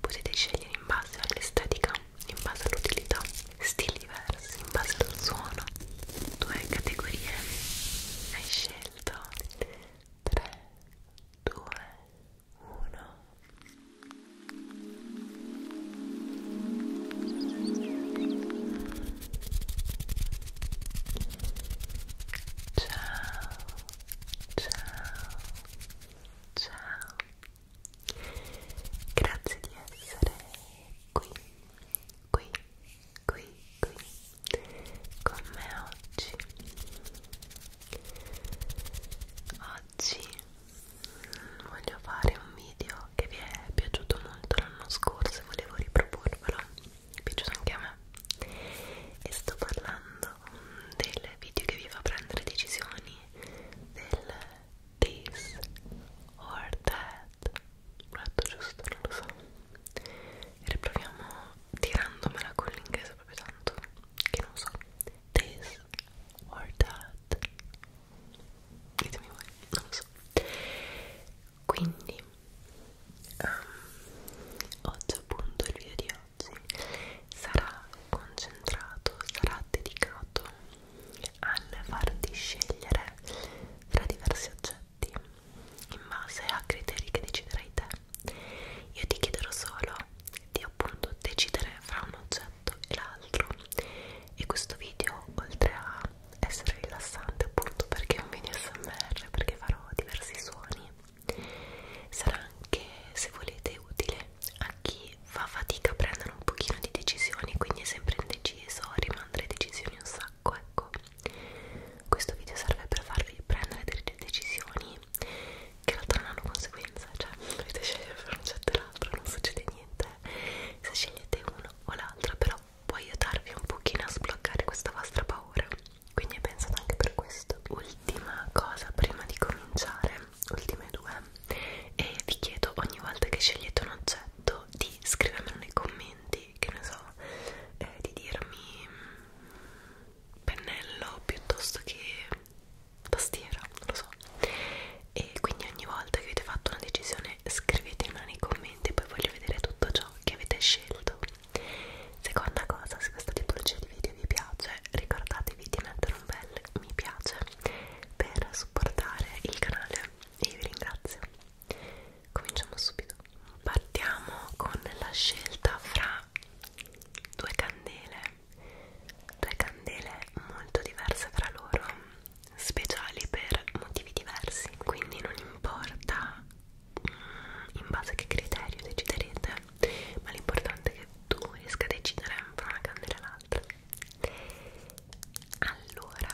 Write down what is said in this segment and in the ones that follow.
Potete scegliere in base all'estetica, in base all'utilità, stili diversi, in base al suono. Due categorie hai scelto. 3, 2, 1. Ciao, ciao, ciao, Grazie di essere qui, qui, qui, qui con me oggi. Oggi voglio fare un video che vi è piaciuto molto l'anno scorso e volevo riproporvelo. Mi è piaciuto anche a me. E sto parlando del video che vi fa prendere decisioni del this or that ho letto giusto, non lo so e riproviamo tirandomela con l'inglese proprio tanto che non so this or that ditemi voi, non lo so quindi um, ehm, oggi appunto il video di oggi sarà concentrato, sarà dedicato al farti scegliere tra diversi oggetti in base a criteri che deciderai te. Io ti chiederò solo di appunto decidere fra un oggetto e l'altro e questo video oltre a essere rilassante appunto perché è un video smr perché farò diversi suoni sarà anche se volete utile a chi fa fatica a prendere un pochino di decisioni quindi è sempre indeciso rimanda le decisioni un sacco ecco questo video serve per farvi prendere delle decisioni che in realtà non hanno conseguenze cioè dovete scegliere per un certo e l'altro non succede niente eh. se scegliete uno o l'altro però può aiutarvi un pochino a sbloccare questa vostra paura quindi è pensato anche per questo ultima cosa prima di cominciare ultime due e vi chiedo ogni volta che scegliete un oggetto di scrivermelo nei commenti che ne so eh, di dirmi mm, pennello piuttosto che tastiera non lo so e quindi ogni volta che avete fatto una decisione scrivetemela nei commenti e poi voglio vedere tutto ciò che avete scelto seconda cosa se questa tipologia di video video vi piace ricordatevi di mettere un bel mi piace per supportare il canale e vi ringrazio cominciamo subito partiamo con la scelta fra due candele due candele molto diverse fra loro speciali per motivi diversi quindi non importa mm, in base a che criterio deciderete ma l'importante è che tu riesca a decidere fra una candela e l'altra allora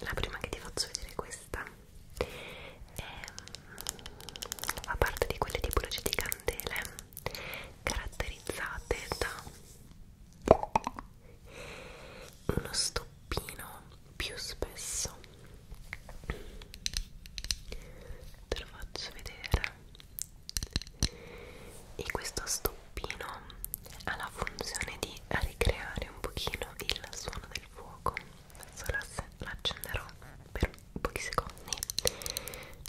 la prima che ti faccio vedere è questa è, mm, fa parte di quelle tipologie di candele caratterizzate da uno stoppino più spesso te lo faccio vedere e questo stoppino ha la funzione di ricreare un pochino il suono del fuoco adesso l'accenderò per pochi secondi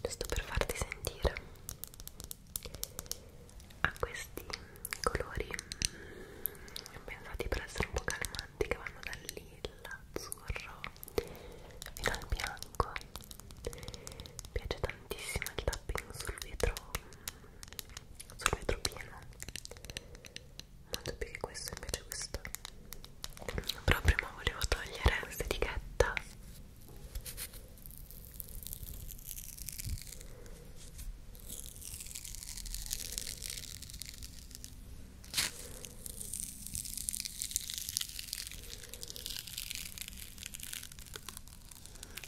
giusto per farti sentire ha questi colori mm, pensati per essere un po' calmanti che vanno dal lilla, azzurro fino al bianco mi piace tantissimo il tapping sul vetro sul vetro pieno molto più che questo invece questo però prima volevo togliere questa etichetta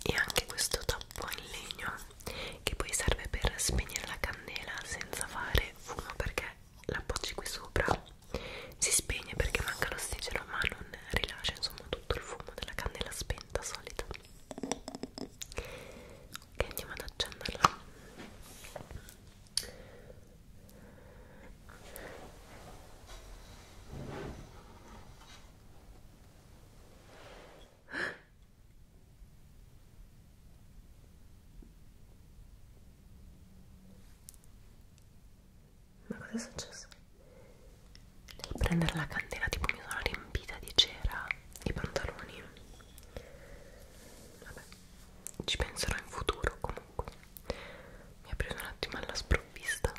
e anche questo tappo in legno che poi serve per spegnere la candela senza fare fumo perché l'appoggi qui sopra si spegne perché manca l'ossigeno ma non rilascia insomma tutto il fumo della candela spenta solita ok andiamo ad accenderla ma cosa è successo? Devo prendere la candela, tipo mi sono riempita di cera i pantaloni. Vabbè, ci penserò in futuro comunque comunque mi ha preso un attimo alla sprovvista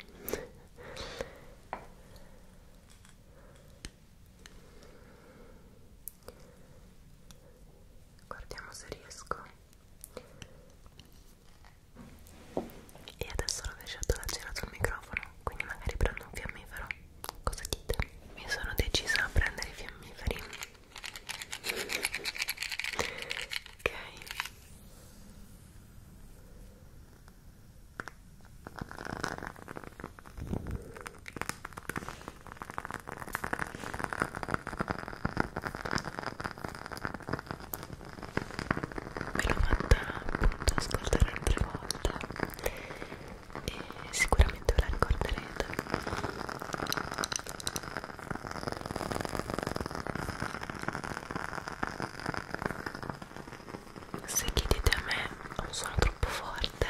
guardiamo se riesco e adesso l'ho lasciato la cera sul microfono quindi magari prendo un fiammifero cosa dite? mi sono decisa a prendere i fiammiferi ok me l'ho fatta appunto ascoltare altre volte e sicuramente ve la ricorderete se chiedete a me non sono troppo forte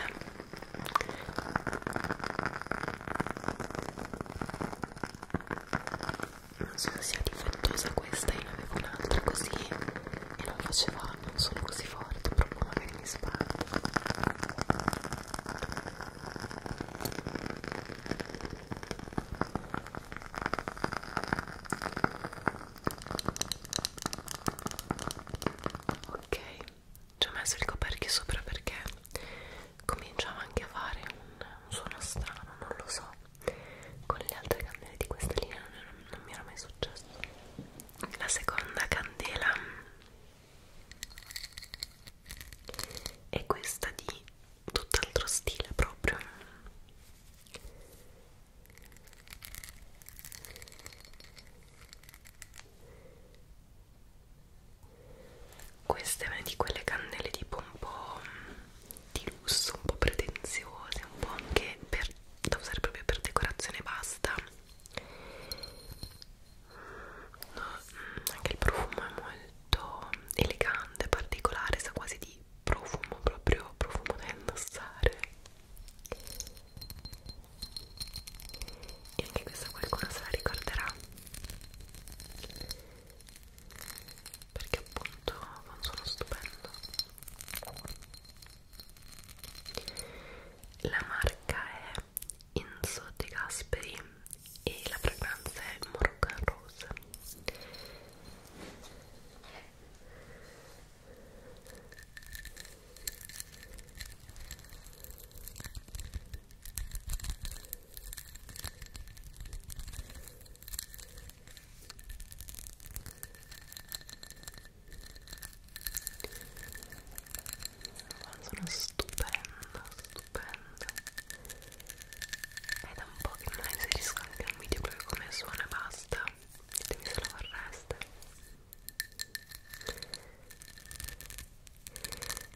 non so se sia difettosa questa io ne avevo un'altra così e non faceva non sono così forte proprio magari mi sbaglio ok ci ho messo il coperchio sopra perché cominciava anche a fare un, un suono strano non lo so con le altre candele di questa linea non, non mi era mai successo la seconda candela e questa di tutt'altro stile proprio questa è una di quelle cannelle tipo un po' di lusso, un po' pretenziose, un po' anche per, da usare proprio per decorazione basta no, anche il profumo è molto elegante, particolare, sa quasi di profumo, proprio profumo da indossare e anche questa qualcuno se la ricorderà perché appunto ha un suono stupendo la marca è Enzo De Gasperi e la fragranza è il Moroccan Rose sono stupenda stupendo è da un po' che non inserisco anche un video proprio come suona e basta ditemi se lo vorreste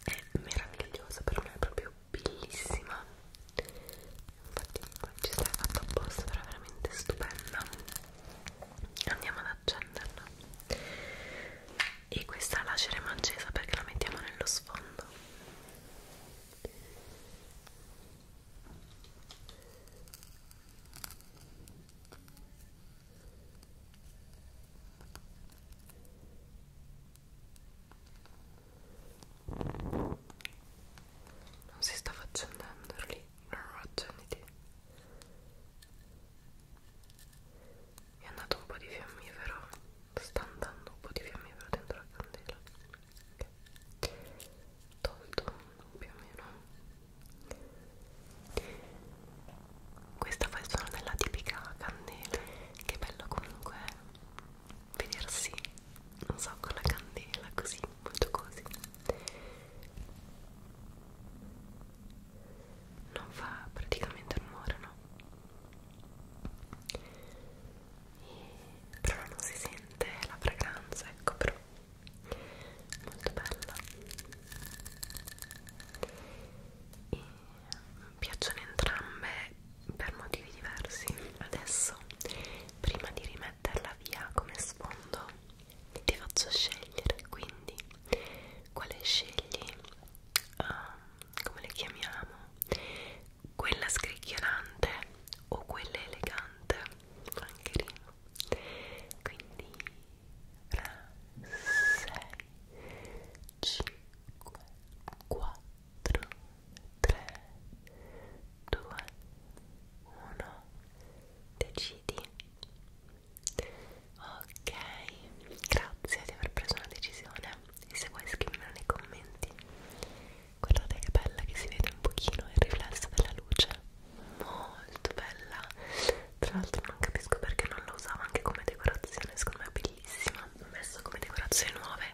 è meravigliosa per me è proprio bellissima infatti ci stai fatto apposta però è veramente stupenda andiamo ad accenderla e questa lasceremo accesa perché la mettiamo nello sfondo non si sta facendo lì non accenditi è andato un po' di fiammifero sta andando un po' di fiammifero dentro la candela okay. tolto più o meno questa fa il suono della tipica candela che bello comunque vedersi non so con la candela così molto così non fa praticamente rumore no e, però non si sente la fragranza ecco però molto bella e mi piacciono entrambe per motivi diversi adesso prima di rimetterla via come sfondo ti faccio scegliere quindi quale scegli uh, come le chiamiamo quella scricchiolante o quella elegante anche rima quindi 3 6 5 4 3 2 1 decidi Ok, grazie di aver preso una decisione e se vuoi scrivere nei commenti guardate che bella che si vede un pochino il riflesso della luce molto bella tra l'altro non capisco perché non la usavo anche come decorazione secondo me è bellissima ho messo come decorazioni nuove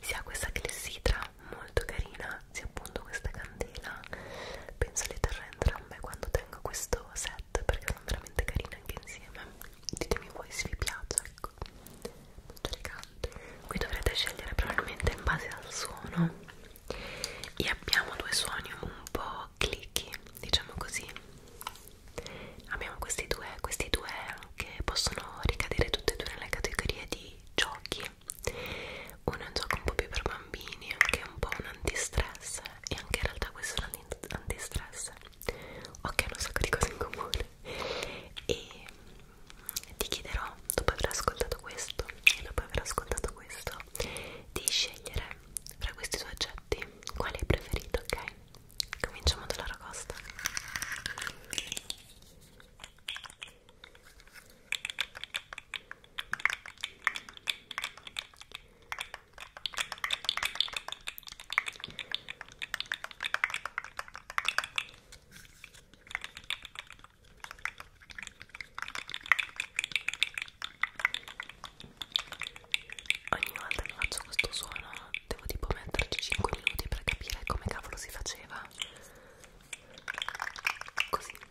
sia questa clessidra molto carina sia appunto questa candela penso le terrò entrambe quando tengo questo set perché sono veramente carine anche insieme ditemi voi se vi piace ecco molto elegante qui dovrete scegliere probabilmente in base al suono e abbiamo due suoni un po' clicchi diciamo così abbiamo questi due questi due anche possono ricadere tutte e due nelle categorie di giochi uno è un gioco un po' più per bambini che è un po' un antistress e anche in realtà questo è un antistress ok hanno un sacco di cose in comune e mm, ti chiederò dopo aver ascoltato questo e dopo aver ascoltato questo di scegliere fra questi due oggetti quale hai preferito ok cominciamo dalla ragosta Ogni volta che faccio questo suono devo tipo metterci 5 minuti per capire come cavolo si faceva. Così. Okay.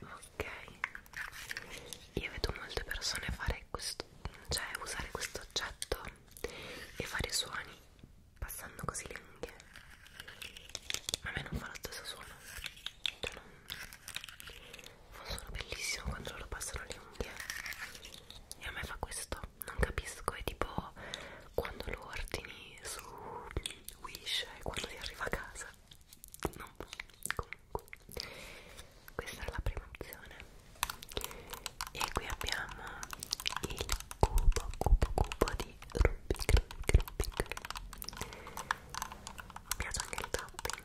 Ok, io vedo molte persone fare questo, cioè usare questo oggetto e fare suoni passando così le unghie, ma a me non fa lo stesso suono, cioè non, non sono bellissimo quando loro passano le unghie e a me fa questo non capisco è tipo quando lo ordini su Wish e quando li arriva a casa non comunque questa è la prima opzione e qui abbiamo il cubo cubo cubo di Rubik Rubik Rubik mi piace anche il tapping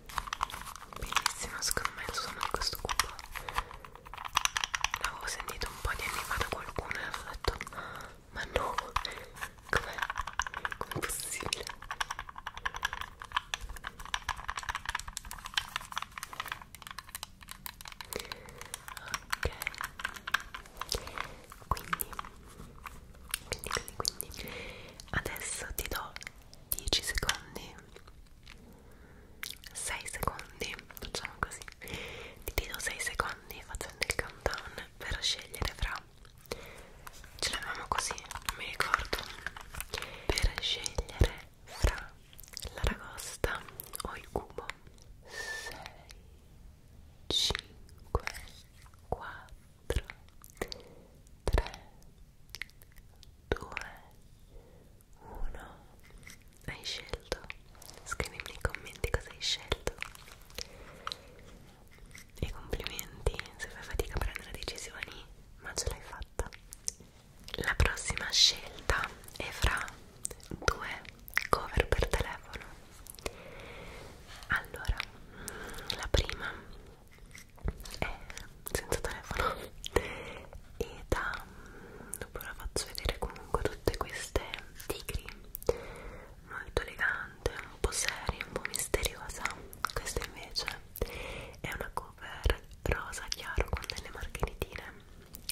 bellissimo secondo me il suono di questo cubo l'avevo sentito un po' di anni fa da qualcuno e avevo detto ma no com'è? com'è possibile? ok quindi quindi quindi quindi adesso ti do 10 secondi 6 secondi, facciamo così, ti do 6 secondi facendo il countdown per scegliere fra, ce l'avevamo così, non mi ricordo, per scegliere fra l'aragosta o il cubo, 6, 5, 4, 3, 2, 1 uno hai scelto scrivimi nei commenti cosa hai scelto e complimenti se fai fatica a prendere decisioni ma ce l'hai fatta la prossima scelta è fra due cover per telefono allora la prima è eh, senza telefono e da mm, dopo la faccio vedere comunque tutte queste tigri molto elegante un po' seria un po' misteriosa questa invece è una cover rosa chiaro con delle margheritine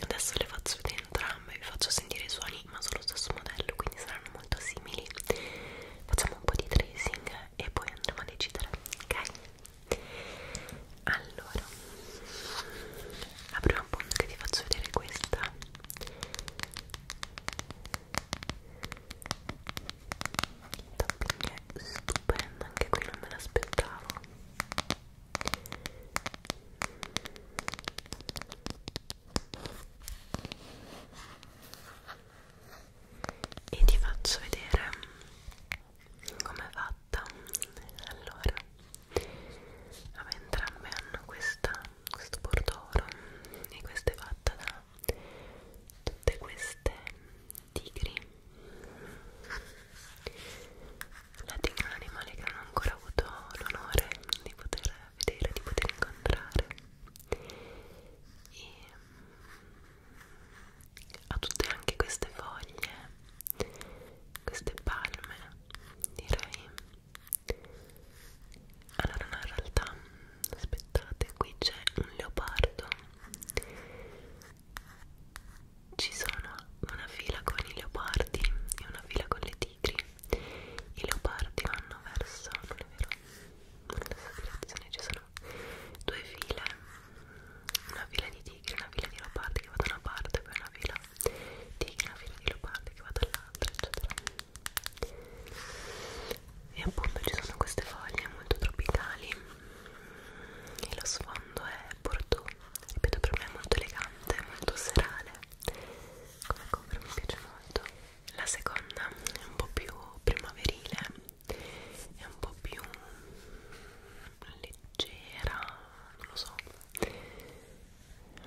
adesso le faccio vedere entrambe vi faccio sentire i suoni ma sono lo stesso modello quindi saranno molto simili facciamo un po' di tracing e poi andremo a decidere ok allora apriamo appunto che ti faccio vedere questa il tapping è stupendo anche qui non me l'aspettavo e ti faccio vedere come fatta allora vabbè, entrambe hanno questa, questo bordoro e questa è fatta da tutte queste tigri la tigre è un animale che non ho ancora avuto l'onore di poter vedere, di poter incontrare e ha tutte anche queste foglie queste palme direi allora no in realtà aspettate qui c'è un leopardo ci sono una fila con i leopardi e una fila con le tigri i leopardi vanno verso non è vero nella direzione ci sono sono due file una fila di tigri, una fila di leopardi che va da una parte poi una fila di tigri, una fila di leopardi che va dall'altra eccetera e appunto ci sono queste foglie molto tropicali e lo sfondo è bordeaux ripeto per me è molto elegante, molto serale come cover mi piace molto la seconda è un po' più primaverile è un po' più leggera, non lo so,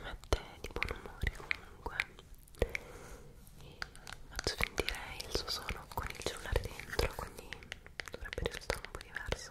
mette di buon umore comunque e faccio sentire il suo suono con il cellulare dentro, quindi dovrebbe risultare un po' diverso.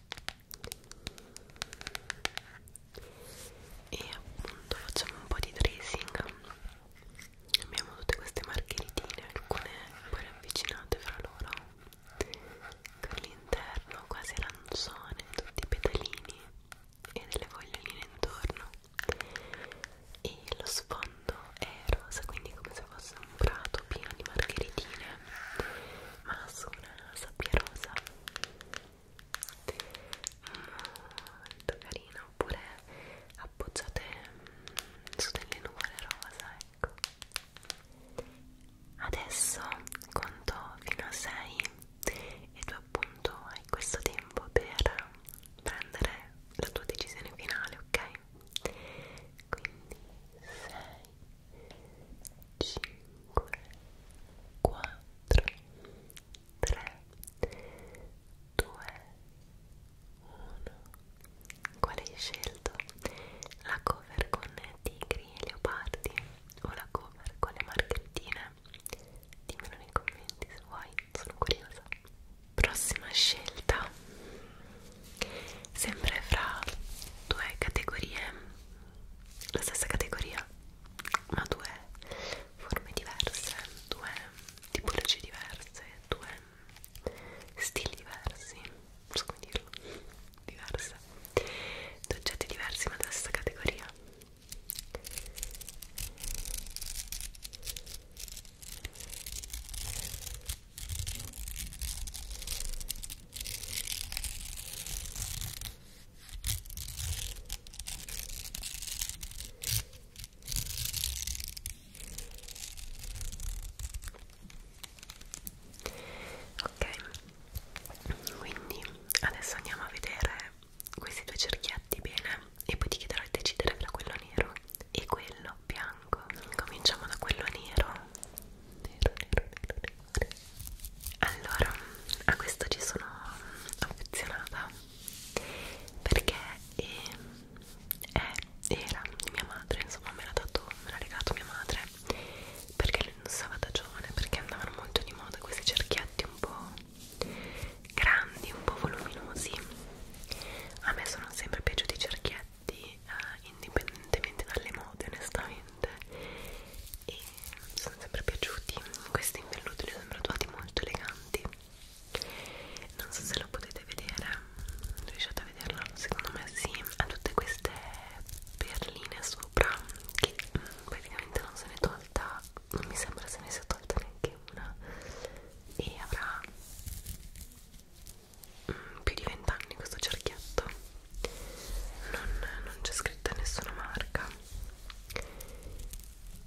e appunto facciamo un po' di tracing abbiamo tutte queste margheritine alcune poi ravvicinate fra loro con l'interno quasi arancione tutti i petalini e delle foglioline intorno e lo sfondo è rosa quindi come se fosse un prato pieno di margheritine ma su una sabbia rosa molto carina oppure appoggiate mm, su delle nuvole rosa ecco adesso conto fino a 6 e tu appunto hai questo tempo per prendere la tua decisione finale ok quindi 6 5 4 3 2 1 5 4 3 2 1 Quale hai scelto? La cover con tigri e leopardi o la cover con le marchettine? Dimmelo nei commenti se vuoi, sono curiosa. Prossima scelta sempre fra due categorie la stessa categoria ma due forme diverse due tipologie diverse due stili diversi posso come dirlo diverse due oggetti diversi ma della stessa categoria Ok, quindi adesso andiamo a vedere questi due cerchietti bene e poi ti chiederò di decidere tra quello nero e quello bianco. Cominciamo da quello nero nero, nero, nero, nero. Allora, a questo ci sono affezionata perché è, ehm, è, era mia madre, insomma me l'ha dato, me l'ha regalato mia madre perché lo indossava da giovane, perché andavano molto di moda questi cerchietti un po' grandi, un po' voluminosi a me sono sempre piaciuti i cerchietti oggetti eh, indipendentemente dalle mode onestamente e mi sono sempre piaciuti questi in velluto li ho sempre trovati molto eleganti non so se lo potete vedere riuscite a vederlo? secondo me sì ha tutte queste perline sopra che praticamente non se ne è tolta non mi sembra se ne sia tolta neanche una e avrà più di 20 anni questo cerchietto non, non c'è scritta nessuna marca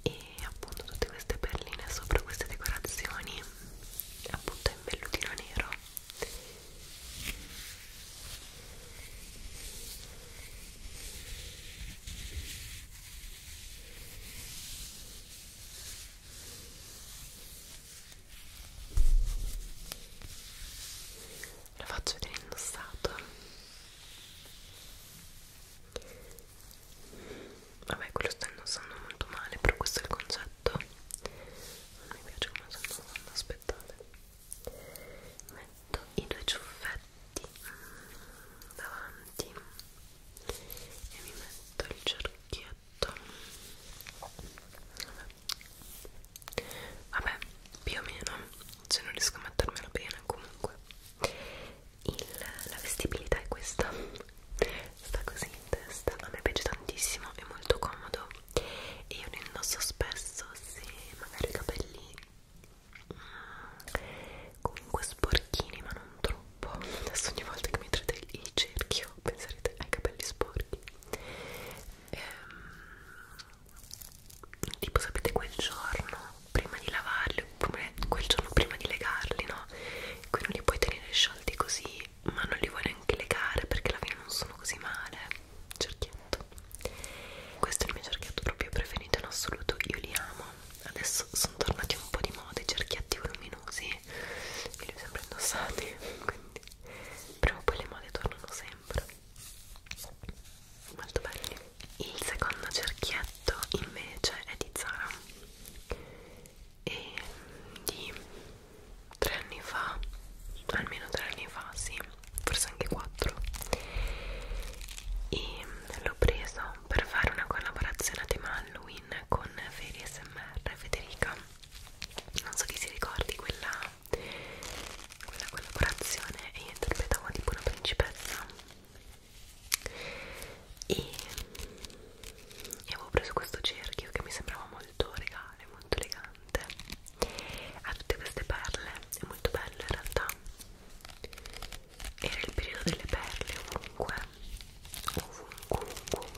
e appunto tutte queste perline sopra queste decorazioni appunto in vellutino nero lo faccio vedere indossato vabbè quello sto indossando molto male però questo è il concetto non mi piace come sono indossando aspettate metto i due ciuffetti mm, davanti e mi metto il cerchietto vabbè vabbè più o meno se non riesco a mettermela bene comunque Il, la vestibilità è questa sta così in testa a me piace tantissimo è molto comodo e io ne indosso spesso se magari i capelli mm, comunque sporchini ma non troppo adesso ogni volta che mi trate il cerchio pensate ai capelli sporchi ehm, tipo sapete quel giorno prima di lavarli oppure quel giorno prima di legarli no? qui non li puoi tenere sciolti così ma non li vuoi neanche legare perché alla fine non sono così male cerchietto questo è il mio cerchietto proprio preferito in assoluto io li amo adesso sono tornati un po' di moda i cerchietti voluminosi e li ho sempre indossati quindi prima o poi le mode tornano sempre molto belli il secondo cerchietto invece è di Zara e di tre anni fa almeno tre anni fa sì forse anche quattro e l'ho preso per fare una collaborazione a tema Halloween con Feri SMR Federica non so chi si ricordi quella, quella collaborazione e io interpretavo tipo una principessa e, e avevo preso questo cerchio che mi sembrava molto regale, molto elegante ha tutte queste perle, è molto bello in realtà era il periodo delle perle ovunque ovunque, ovunque,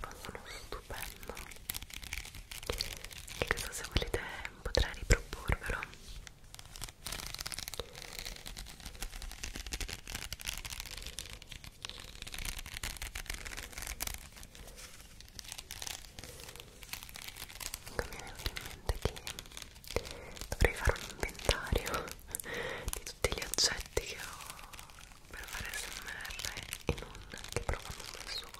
fanno uno stupendo e questo se volete potrei riproporvelo mi è venuto in mente che dovrei fare un inventario di tutti gli oggetti che ho per fare smr in un che provano da solo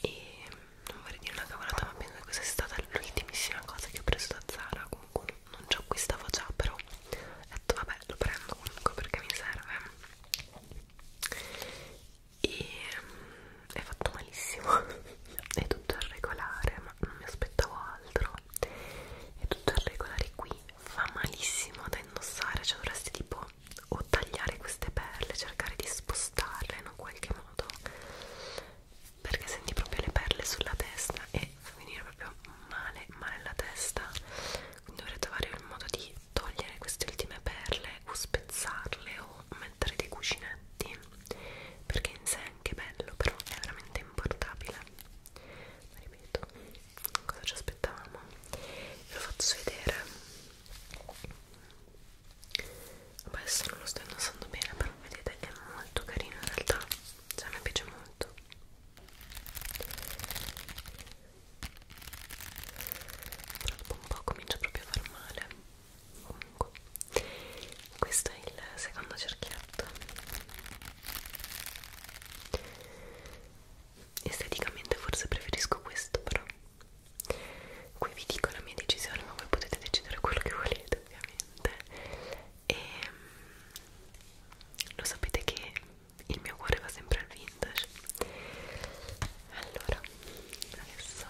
e non vorrei dire una cavolata ma penso che questa è stata l'ultimissima cosa che ho preso da Zara comunque non ci acquistavo già però ho detto vabbè lo prendo comunque perché mi serve e è fatto malissimo è tutto irregolare ma non mi aspettavo altro è tutto irregolare qui fa malissimo da indossare cioè dovresti tipo o tagliare queste perle cercare di spostarle in un qualche modo perché senti proprio le perle sulla testa e fa venire proprio male male la testa quindi dovrei trovare il modo di togliere queste ultime perle o spezzarle o mettere dei cuscinetti perché in sé anche bello però è veramente importabile ma ripeto cosa ci aspettavamo ve lo faccio vedere Vabbè, adesso non lo sto indossando bene però vedete è molto carino in realtà cioè mi piace molto però dopo un po' comincia proprio a far male comunque questo è il secondo cerchietto esteticamente forse preferisco questo però qui vi dico la mia decisione ma voi potete decidere quello che volete ovviamente e ehm, lo sapete che il mio cuore va sempre al vintage allora adesso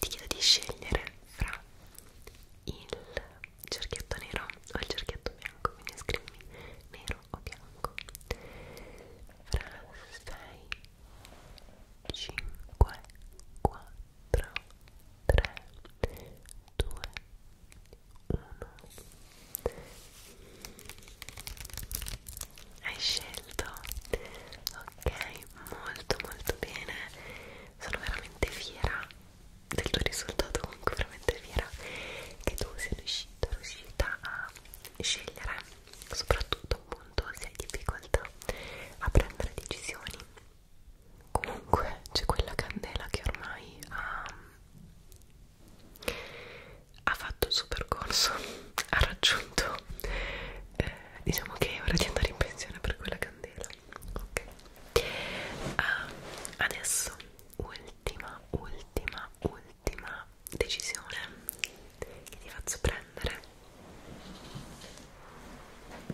ti chiedo di scegliere fra il cerchietto nero o il cerchietto bianco, quindi scrivimi nero o bianco fra 6 5 4 3 2 1 hai scelto ok molto molto bene sono veramente fiera del tuo risultato, comunque veramente fiera che tu sia riuscita, riuscita a scegliere, soprattutto appunto se hai difficoltà a prendere decisioni. Comunque c'è quella candela che ormai ha, ha fatto il suo percorso, ha raggiunto, eh, diciamo che è ora di andare in pensione per quella candela ok uh, adesso ultima ultima ultima decisione che ti faccio prendere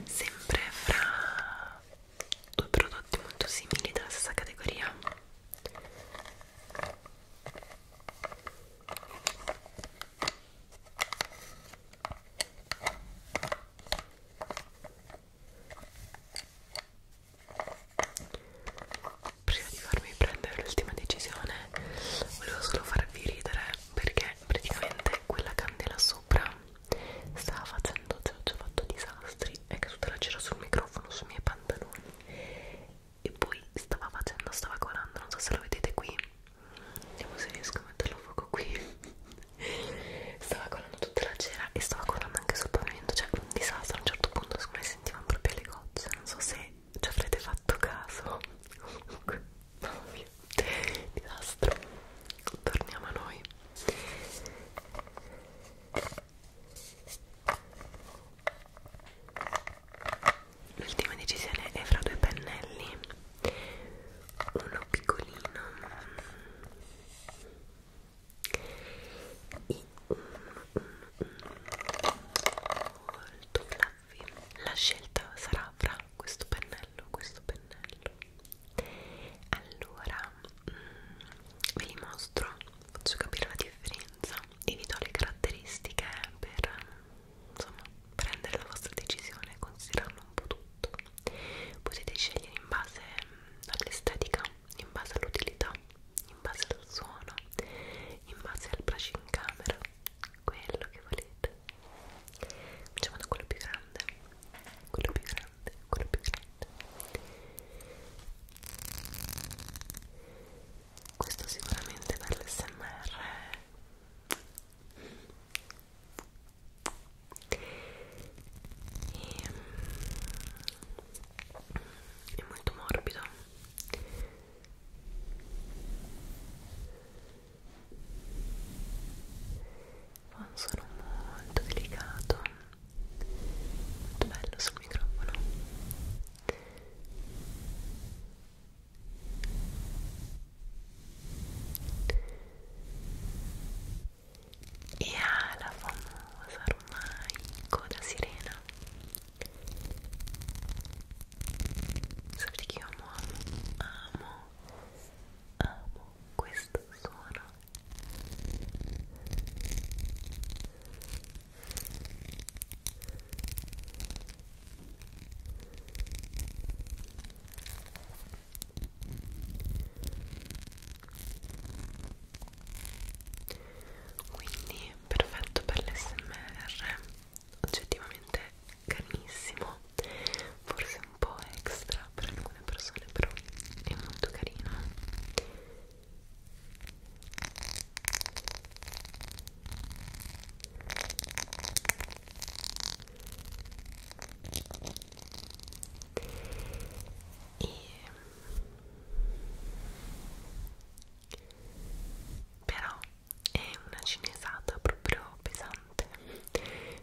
sempre fra due prodotti molto simili della stessa categoria Prima di farmi prendere l'ultima decisione, volevo solo farvi ridere perché praticamente quella candela sopra stava facendo, cioè ho già fatto disastri, è caduta la cera sul microfono, sui miei pantaloni e poi stava facendo, stava colando, non so se lo vedete qui Vediamo se riesco a metterlo a fuoco qui. Stava colando tutta la cera e stava colando anche sul pavimento, cioè un disastro. A un certo punto, siccome sentivano proprio le gocce, non so se ci avrete fatto caso. Comunque, mamma mia, disastro. Torniamo a noi. L'ultima decisione è fra due pennelli uno piccolino e uno, uno, uno molto fluffy la scelta sarà fra questo pennello questo pennello allora ve li mostro faccio capire la differenza e vi do le caratteristiche per insomma prendere la vostra decisione e considerarlo un po' tutto potete scegliere in base mm, all'estetica in base all'utilità in base al suono in base al braccio in camera quello che volete facciamo da quello più grande quello più grande quello più grande questo sicuramente per l'SMR e, mm, è molto morbido fa un suono molto delicato molto bello sul microfono e ha la famosa ormai coda sirena sapete che io amo, amo, amo questo suono quindi perfetto per l'SMR oggettivamente carinissimo forse un po' extra per alcune persone però è molto carino e però è una cinesata proprio pesante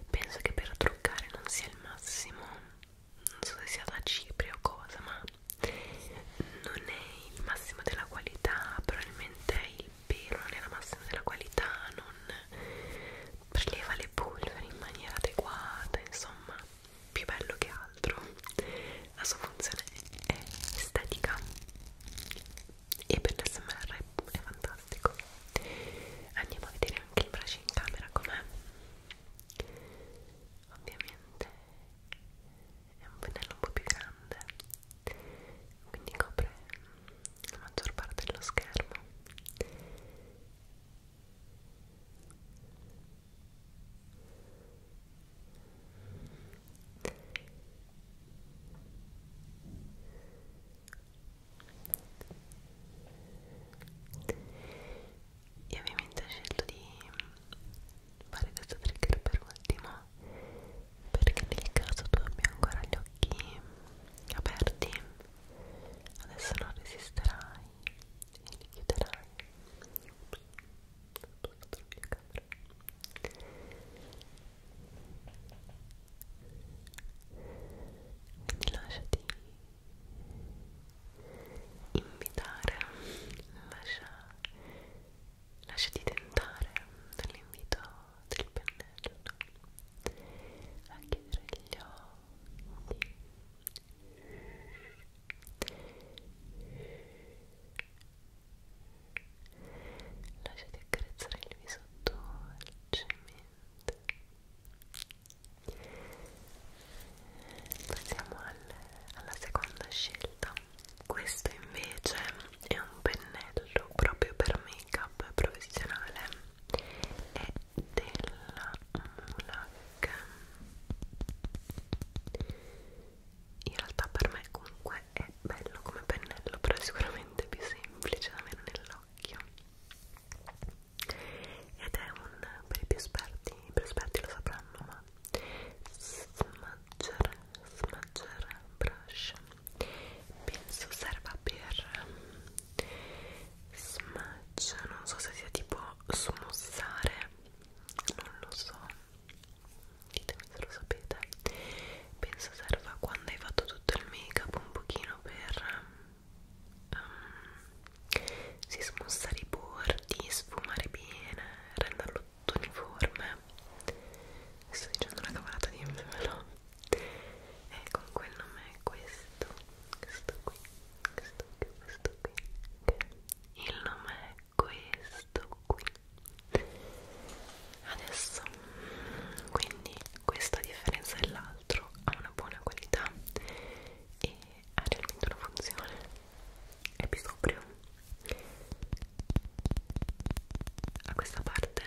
penso che per truccare non sia il massimo non so se sia da cipria o cosa ma non è il massimo della qualità probabilmente è il il pelo non è la massima della qualità, non preleva le polvere in maniera adeguata, insomma, più bello che altro. La sua funzione è estetica e per l'SMR è fantastico. Andiamo a vedere anche il braccio in camera com'è. Ovviamente è un pennello un po' più grande quindi copre la maggior parte dello schermo io ovviamente ho scelto di fare questo trigger per ultimo perché nel caso tu abbia ancora gli occhi aperti adesso non resisterai e li chiuderai quindi lasciati invitare lascia, lasciati tentare dall'invito del pennello a chiudere gli occhi lasciati accarezzare il viso dolcemente passiamo al, alla seconda scelta questo invece è un pennello proprio per make up professionale è della Mulac in realtà per me comunque è bello come pennello però è sicuramente più semplice da meno nell'occhio ed è un per i più esperti i più esperti lo sapranno ma smudger smudger brush penso serva per smudge non so se sia tipo smussare non lo so ditemi se lo sapete penso serva quando hai fatto tutto il make up un pochino per um, ehm, si smussare i bordi sfumare bene renderlo tutto uniforme sto dicendo una cavolata di no e con quel nome è questo questo qui questo qui questo qui il nome è questo qui adesso quindi questo a differenza dell'altro ha una buona qualità e ha realmente una funzione è più sobrio a questa parte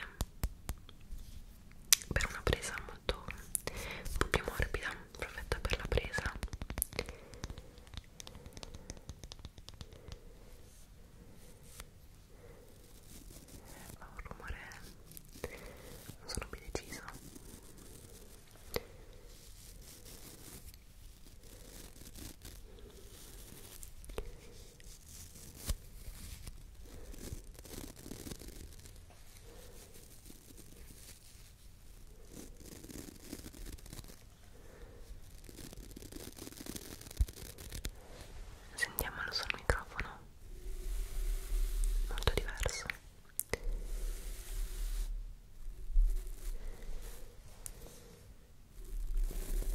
per una presa molto un po' più morbida perfetta per la presa fa un rumore non sono ben decisa Sentiamolo sul microfono, molto diverso.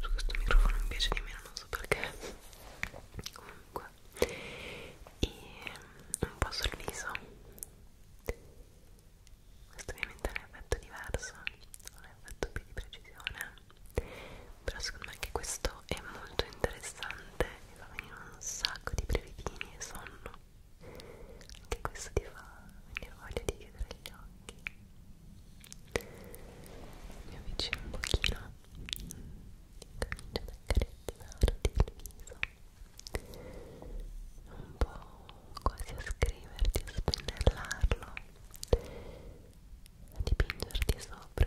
su questo microfono mi piace di meno non so perché comunque e un po' sul viso questo ovviamente è un effetto diverso un effetto più di precisione però secondo me anche questo è molto interessante e va a venire un sacco di brevettini e sonno anche questo ti fa venire voglia di chiudere gli occhi. Mi avvicino un pochino, comincio ad accarezzarti il viso, un po' quasi a scriverti, a spennellarlo, a dipingerti sopra.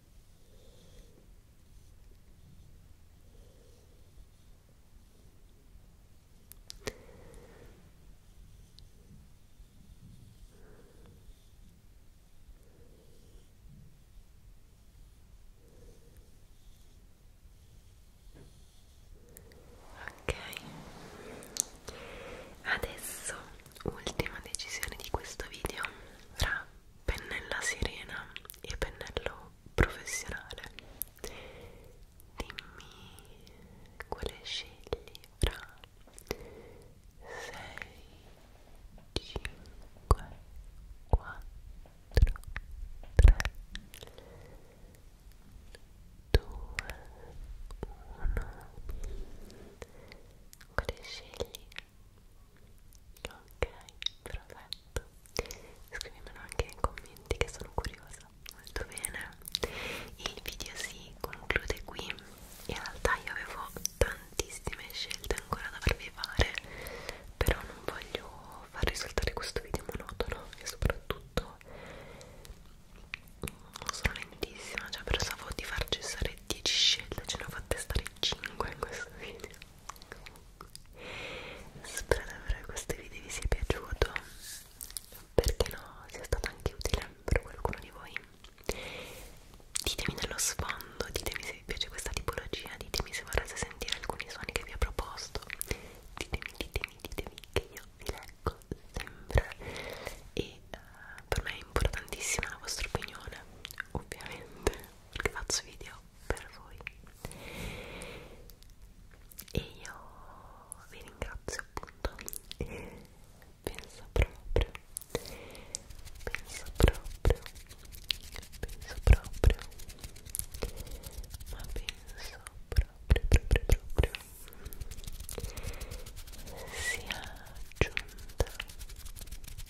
Ok, adesso ultima decisione di questo video fra pennella sirena e pennello professionale dimmi quale scegli fra 6 5 4 3 2 1 quale scegli ok perfetto scrivimelo anche nei commenti che sono curiosa molto bene il video si conclude qui in realtà io avevo tantissime scelte ancora da farvi fare però non voglio far risultare questo video monotono e soprattutto sono lentissima, cioè pensavo di far cessare fatte 10 scelte, ce ne ho fatte stare 5 in questo video. Spero davvero questo video vi sia piaciuto, perché no, sia stato anche utile per qualcuno di voi. Ditemi nello sfondo, ditemi se vi piace questa tipologia, ditemi se vorreste sentire alcuni suoni che vi ho proposto. Ditemi, ditemi, ditemi che io vi leggo sempre e uh, per me è importantissima la vostra opinione, ovviamente perché faccio video per voi e io vi ringrazio appunto penso proprio penso proprio penso proprio ma penso proprio proprio proprio sia giunta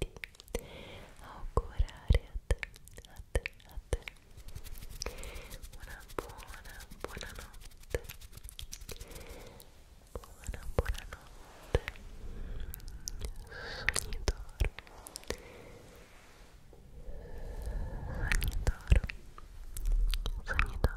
di augurare a te, a te, a te una buona, buona notte buona, buona notte sognitoro sognitoro sognitoro